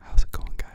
How's it going, guys?